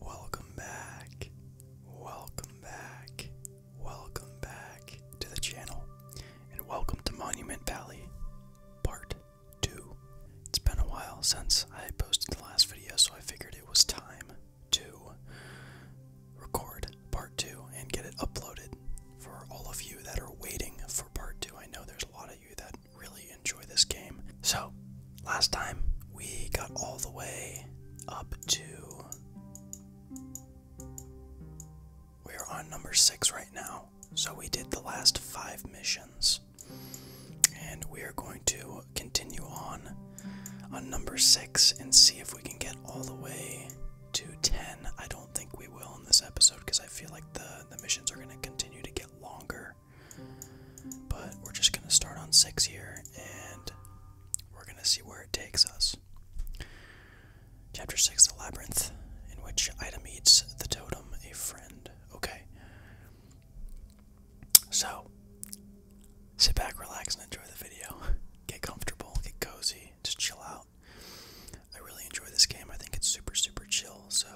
Welcome back, welcome back, welcome back to the channel, and welcome to Monument Valley Part 2. It's been a while since I posted the last video, so I figured it was time to record Part 2 and get it uploaded for all of you that are waiting for Part 2. I know there's a lot of you that really enjoy this game. So, last time we got all the way up to. We're on number six right now. So, we did the last five missions. And we are going to continue on on number six and see if we can get all the way to 10. I don't think we will in this episode because I feel like the, the missions are going to continue to get longer. But we're just going to start on six here and we're going to see where it takes us. Chapter 6 The Labyrinth, in which Ida meets the totem, a friend. Okay. So, sit back, relax, and enjoy the video. Get comfortable, get cozy, just chill out. I really enjoy this game. I think it's super, super chill. So,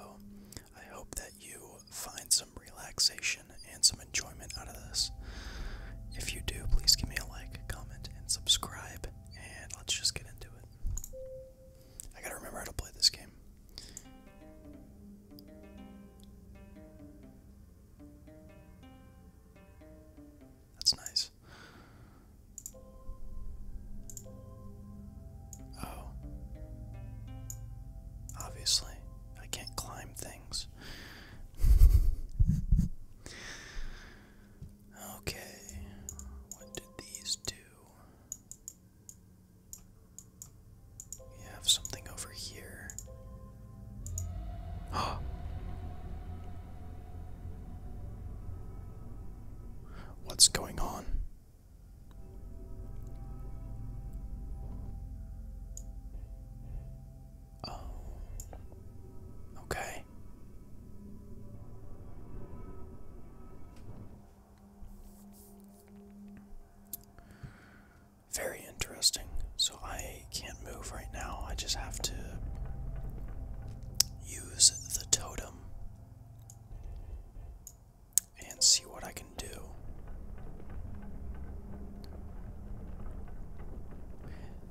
I hope that you find some relaxation and some enjoyment out of this. If you do, please give me a like, comment, and subscribe, and let's just get into it. I gotta remember how to play this game. That's nice. Oh. Obviously, I can't climb things okay, what did these do? We have something over here. Oh. What's going on? Oh. Okay. Very interesting. So I can't move right now. I just have to use the totem and see what I can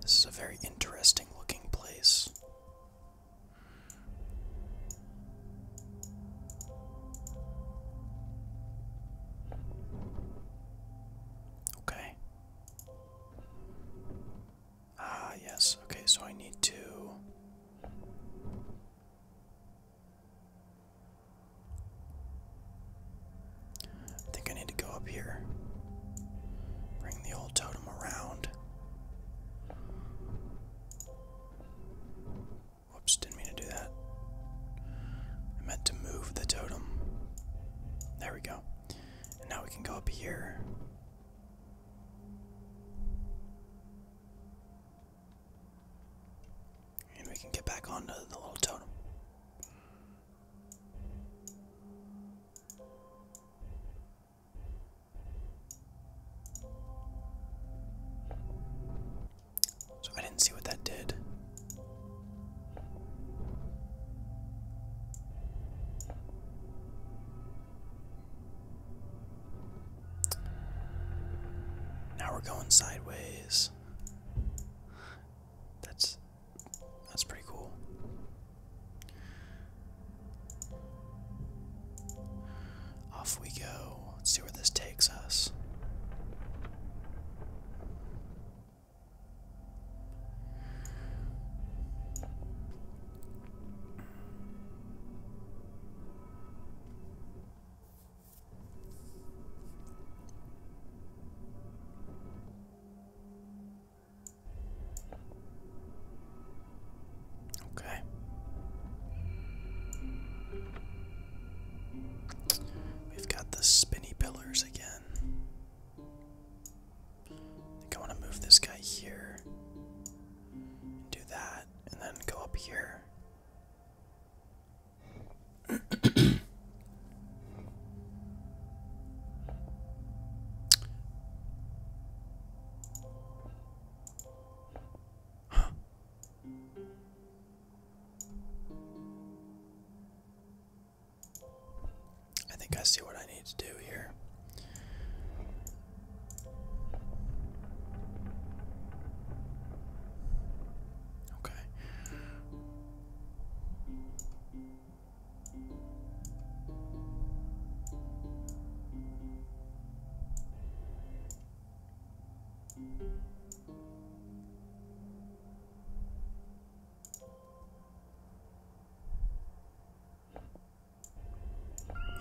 this is a very interesting looking place. Okay. Ah, yes. Okay, so I need to I think I need to go up here. Bring the old totem around. Whoops, didn't mean to do that. I meant to move the totem. There we go. now we can go up here. And we can get back onto the little totem. So I didn't see what that did. Now we're going sideways. That's that's pretty cool. Off we go. Let's see where this takes us. Okay. We've got the spinny pillars again. I think I want to move this guy here. do that. And then go up here. I think I see what I need to do here. Okay.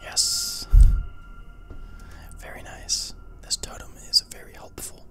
Yes. Very nice. This totem is very helpful.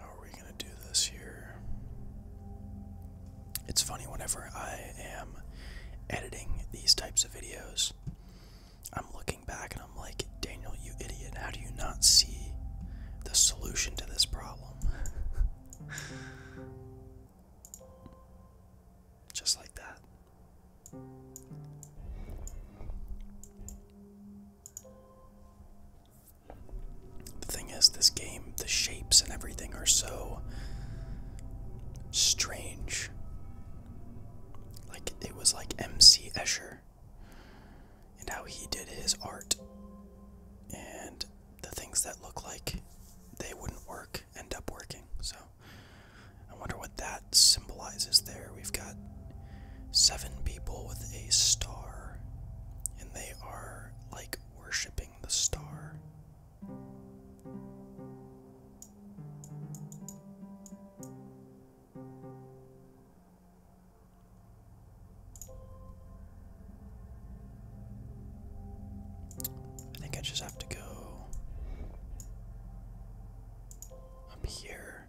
How are we going to do this here? It's funny, whenever I am editing these types of videos, I'm looking back and I'm like, Daniel, you idiot, how do you not see the solution to this problem? Just like that. The thing is, this game, the shapes and everything are so strange. Like, it was like M.C. Escher and how he did his art. And the things that look like they wouldn't work end up working. So, I wonder what that symbolizes there. We've got seven people with a star, and they are like worshiping the star. I think I just have to go up here.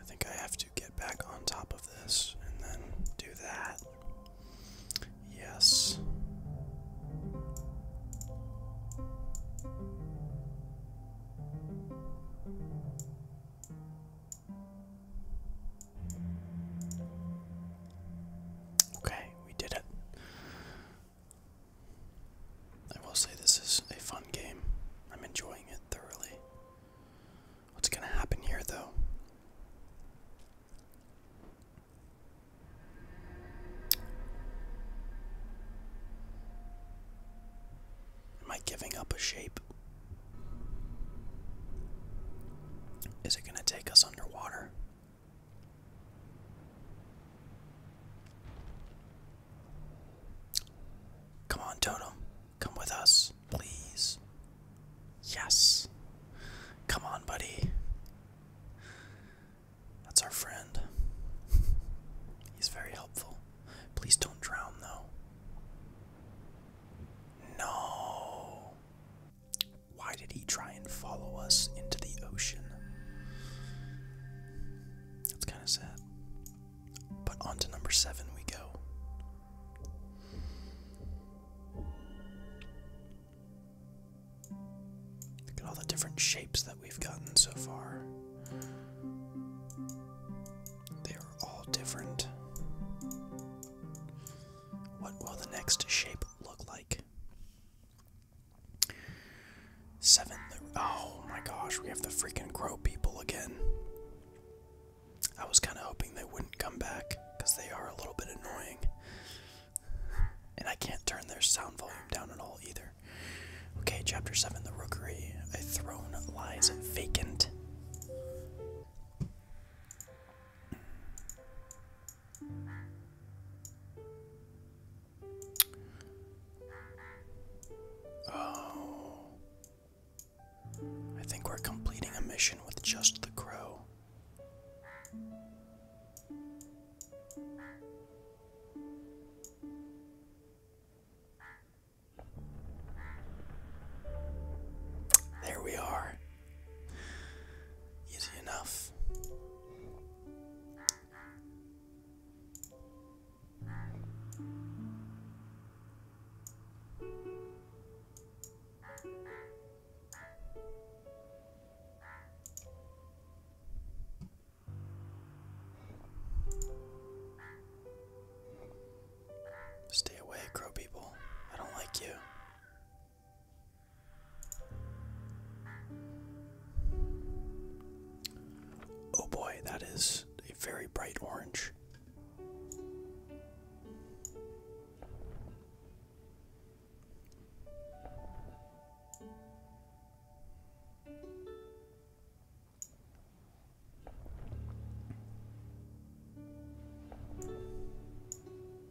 I think I have to get back on top of this and then do that. Yes. Okay, we did it. I will say this is a fun game. I'm enjoying it thoroughly. What's going to happen here, though? Am I giving up a shape? Is it going to take us underwater? Come on, Toto. Come with us, please. Yes. Come on, buddy. That's our friend. He's very helpful. Please don't drown, though. No. Why did he try and follow us into the ocean? That's kind of sad. But on to number seven we go. Look at all the different shapes that we've gotten so far. They are all different. What will the next shape look like? Seven. Oh my gosh, we have the freaking crow people again. I was kind of hoping they wouldn't come back because they are a little bit annoying. And I can't turn their sound volume down at all either. Okay, chapter 7 The Rookery. A throne lies vacant. Oh. I think we're completing a mission with just the crow. There we are. Easy enough. Stay away, crow people. I don't like you. Oh boy, that is a very bright orange.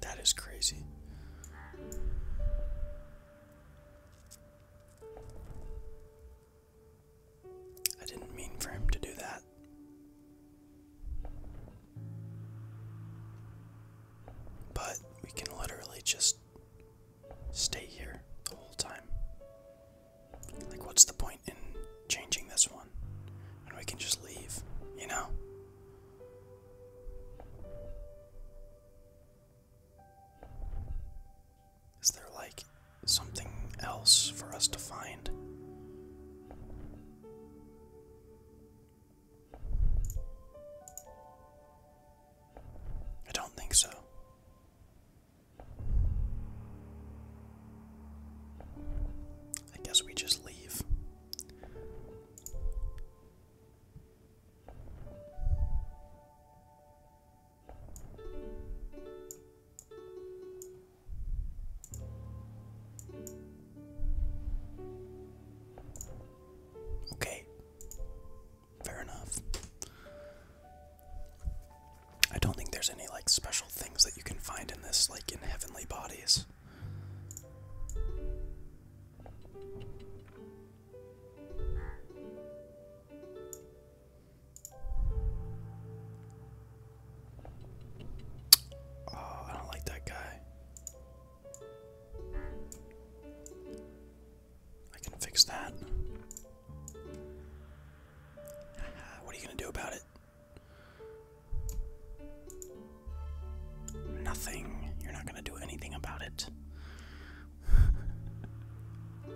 That is crazy. I didn't mean for him to do that. But we can literally just stay here the whole time. Like, what's the point in changing this one? And we can just leave, you know? Is there like something else for us to find? I don't think so. I guess we just leave. Okay. Fair enough. I don't think there's any like special things that you can find in this, like in heavenly bodies. Oh, I don't like that guy. I can fix that. What are you going to do about it? Nothing. You're not going to do anything about it.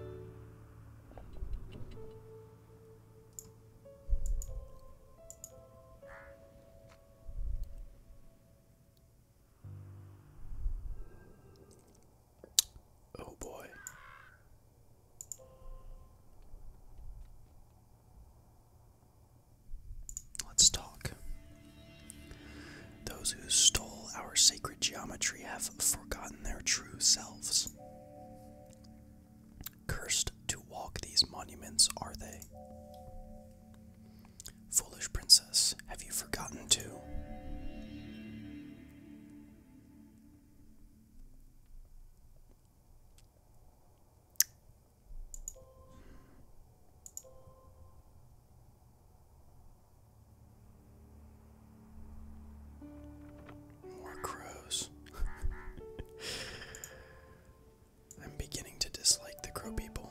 oh boy. Let's talk. Those who stole our sacred geometry have forgotten their true selves. Cursed to walk these monuments are they. Foolish princess, have you forgotten too? More crows. I'm beginning to dislike the crow people.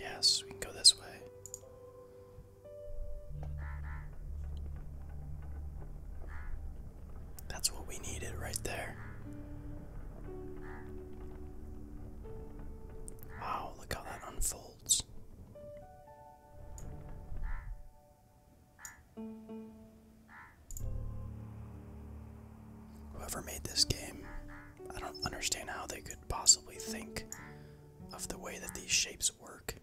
Yes, we can go this way. That's what we needed right there. Wow, look how that unfolds. Whoever made this game, I don't understand how they could possibly think of the way that these shapes work.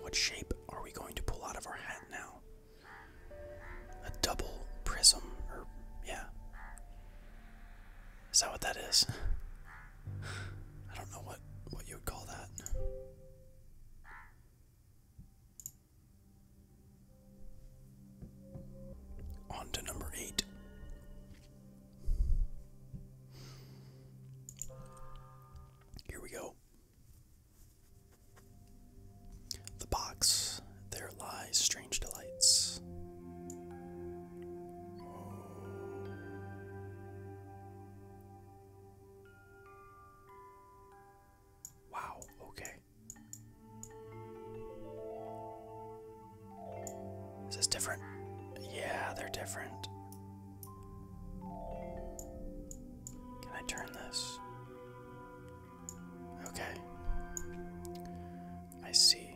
What shape are we going to pull out of our hat now? A double prism, or yeah. Is that what that is? I don't know what what you would call that. On to number eight. Here we go. The box, there lies strange delights. Wow, okay. Is different? Yeah, they're different. Can I turn this? Okay. I see.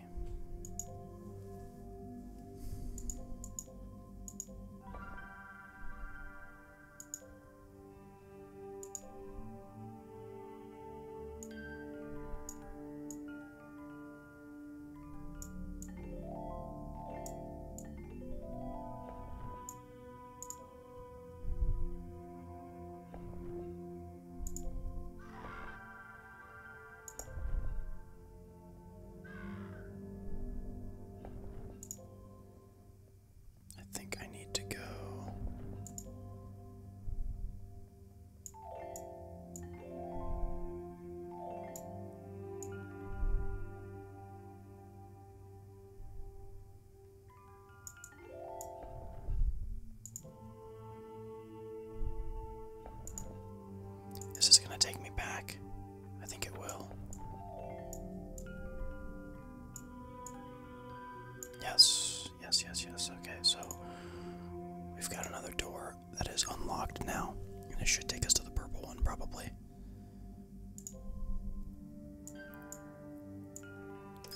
I think I need to go. This is going to take me back. I think it will. Yes, yes, yes, yes. Okay, so we've got another door that is unlocked now, and it should take us to the purple one probably.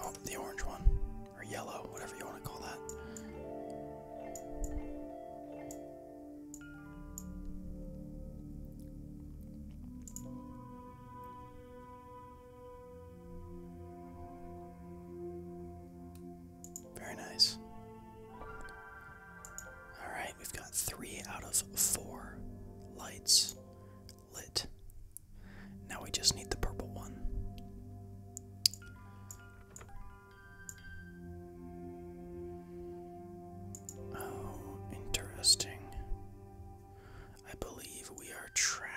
Oh, the orange one. Or yellow, whatever you want to call that. Very nice. All right, we've got three out of four lights lit. Now we just need the purple one. Oh, interesting. I believe we are trapped.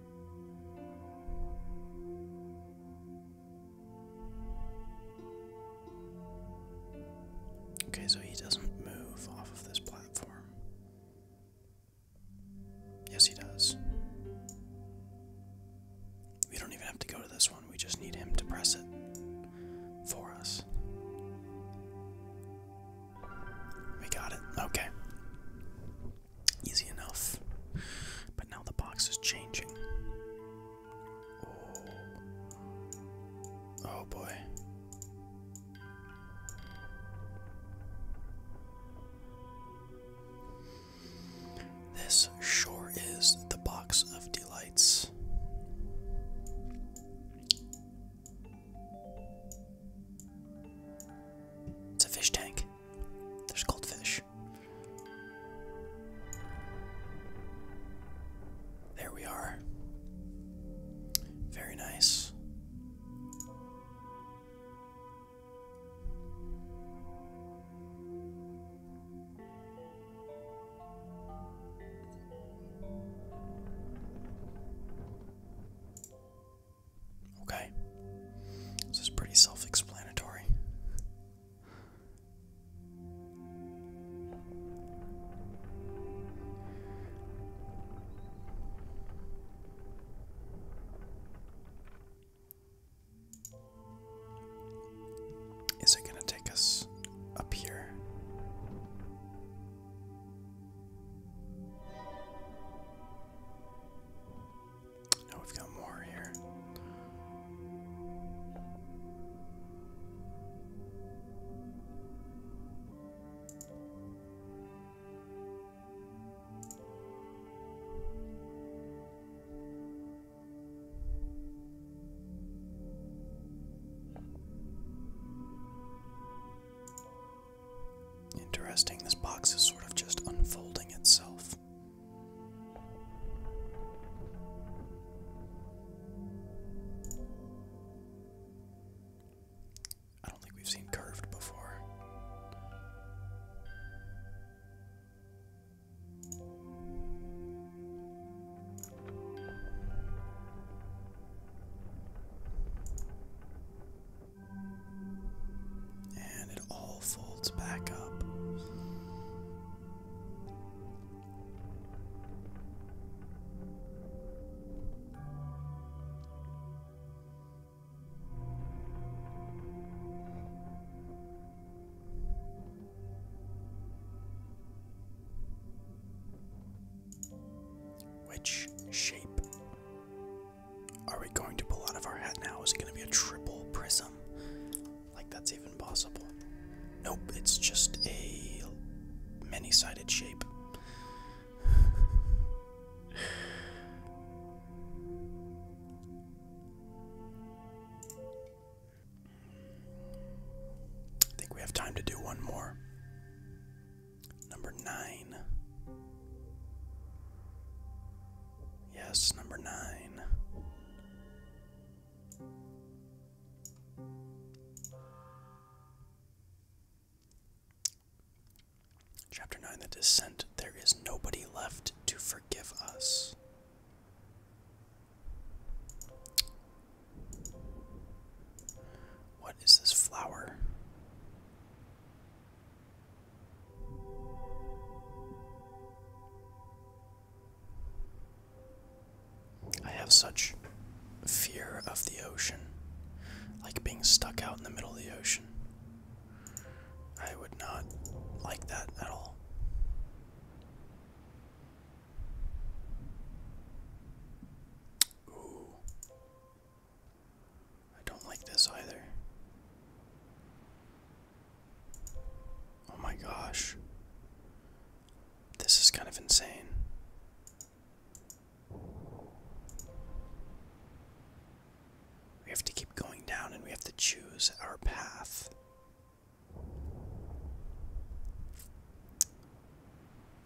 Okay, so he doesn't move off of this platform. Yes, he does. We don't even have to go to this one, we just need him to press it for us. We got it. Okay. Easy enough. But now the box is changing. Oh, oh boy. This sure is the box of delights. It's a fish tank. There's goldfish. There we are. Very nice. Okay? This is pretty self explanatory. Is it going to take us up here? Now we've got more here. Interesting, this box is sort of just unfolding itself. I don't think we've seen curved before. And it all folds back up. Which shape are we going to pull out of our hat now? Is it going to be a triple prism? Like that's even possible. Nope, it's just a many sided shape. I think we have time to do one more. Number nine. Yes, number nine. Chapter 9 The Descent. There is nobody left to forgive us. What is this flower? I have such fear of the ocean, like being stuck out in the middle of the ocean. I would not like that at all. I don't like this either. Oh my gosh. This is kind of insane. We have to keep going down and we have to choose our path.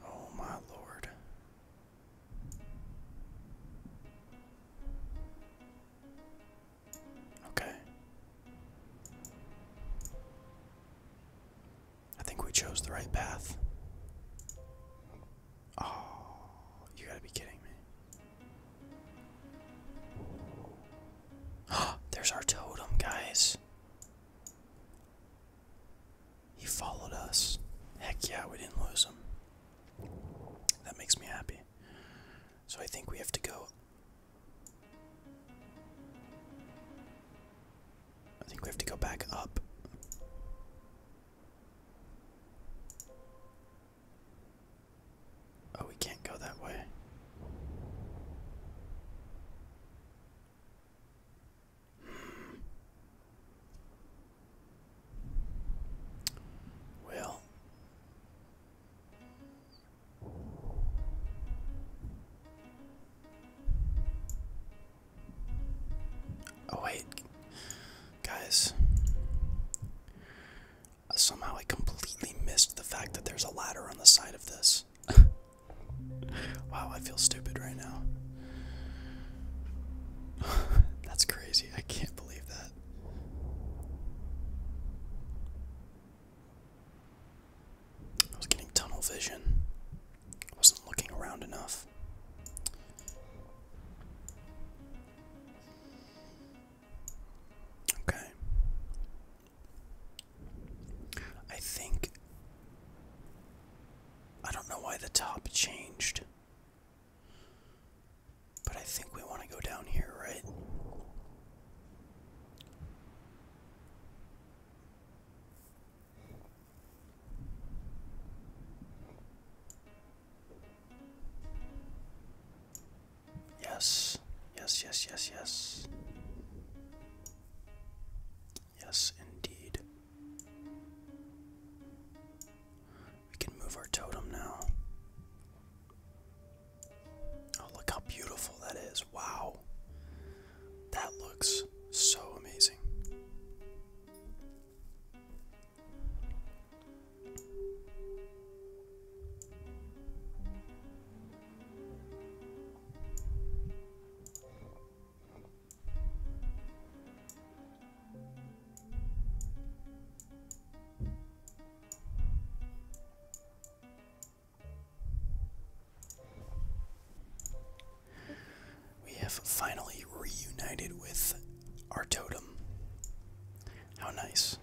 Oh my lord. Okay. I think we chose the right path. Oh, you gotta be kidding me. There's our totem, guys. He followed us. Heck yeah, we didn't lose him. That makes me happy. So I think we have to go. I think we have to go back up. Oh, we can't go that way. Hmm. Well, oh, wait, guys, somehow I completely missed the fact that there's a ladder on the side of this. wow, I feel stupid right now. That's crazy. I can't believe that. I was getting tunnel vision. I wasn't looking around enough. Okay. I think I don't know why the top changed. But I think we want to go down here, right? Yes, yes, yes, yes, yes. Yes, indeed. We can move our totem now. Oh, look how beautiful that is. Wow. That looks so amazing. We have finally reunited with our totem. How nice.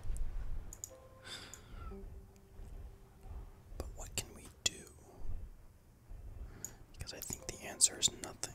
But what can we do? Because I think the answer is nothing.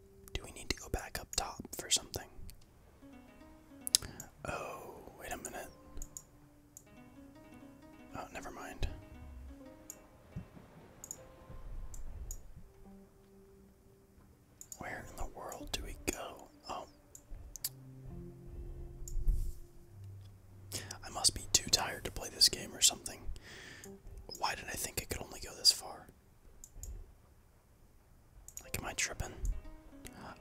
Do we need to go back up top for something? Oh, wait a minute. Oh, never mind. Where in the world do we go? Oh. I must be too tired to play this game or something. Why did I think it could only go this far? am I tripping?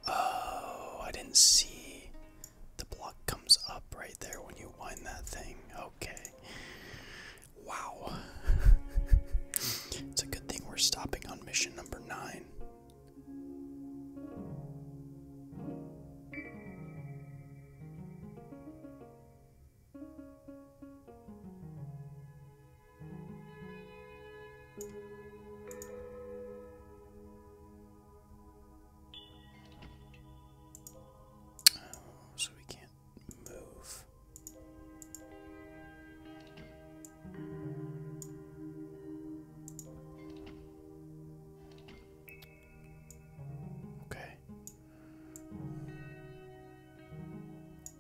Oh, I didn't see. The block comes up right there when you wind that thing. Okay. Wow. it's a good thing we're stopping on mission number nine so we can't move. Okay.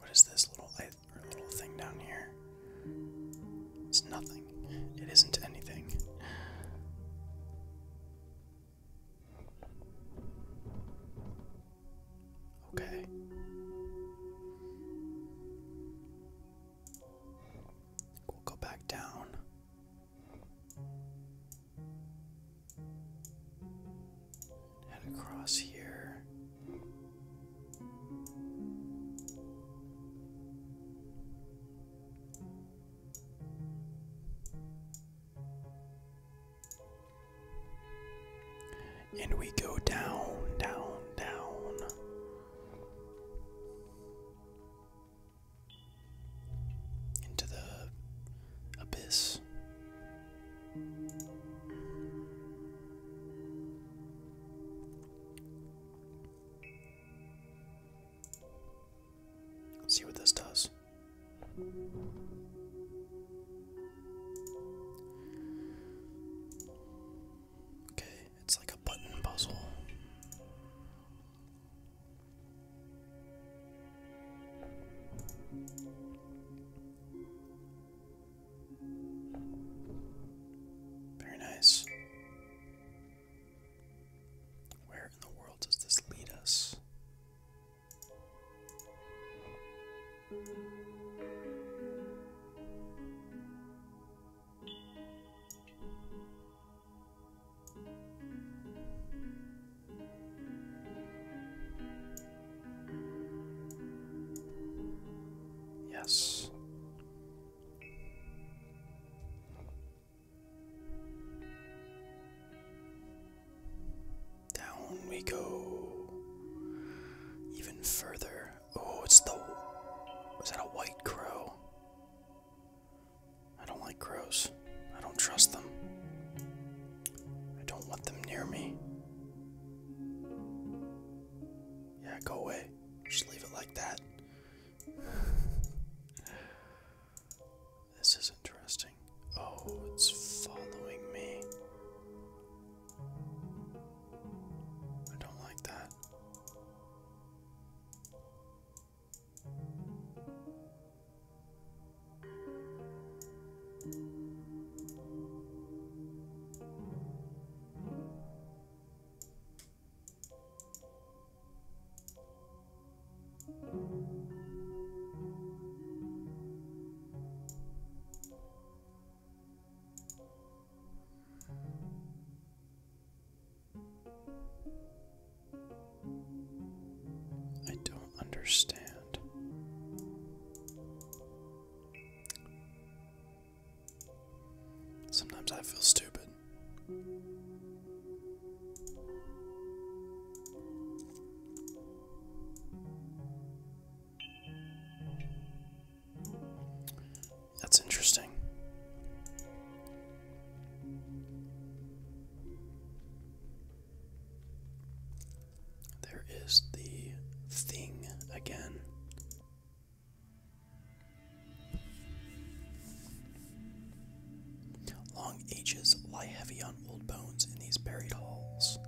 What is this little little thing down here? It's nothing. It isn't anything. Okay. We'll go back down. Head across here. And we go down, down, down. Into the abyss. see what this does. Okay, it's like a button puzzle. Very nice. Where in the world does this lead us? Yes. Down we go even further Oh, it's the. Was that a white crow? I don't like crows. I don't trust them. I don't want them near me. Yeah, go away. Just leave it like that. This is interesting. Oh, it's following me. I don't like that. I don't understand. Sometimes I feel stupid. That's interesting. There is the thing again. Long ages lie heavy on old bones in these buried halls.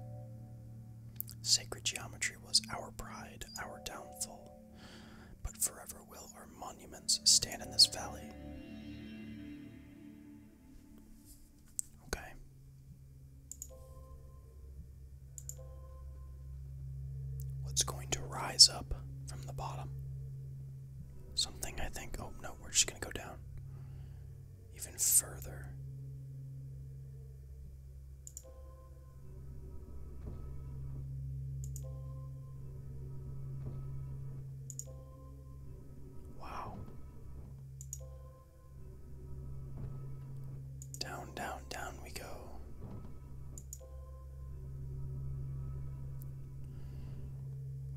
Sacred geometry was our pride, our downfall but forever will our monuments stand in this valley. Okay. What's going to rise up from the bottom? Something I think. Oh no, we're just going to go down even further. Wow. Down, down, down we go.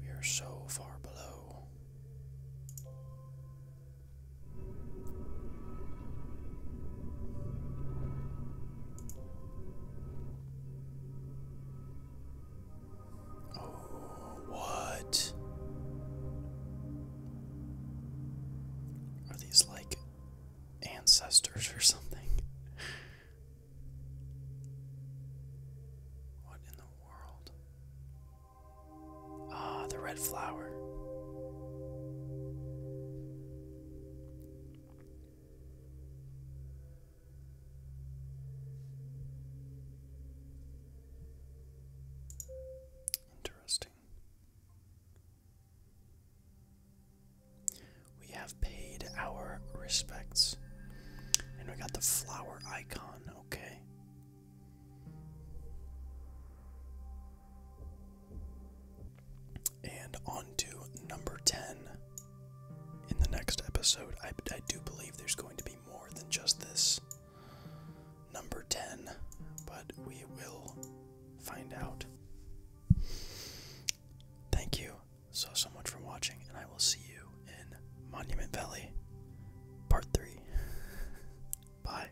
We are so far below. Oh, what? Are these like ancestors or something? What in the world? Ah, the red flower. Interesting. We have paid our respects. And we got the flower icon, okay. And on to number 10. In the next episode, I, do believe there's going to be more than just this number 10, but we will find out. Thank you so, so much for watching, and I will see you in Monument Valley Part 3. Bye.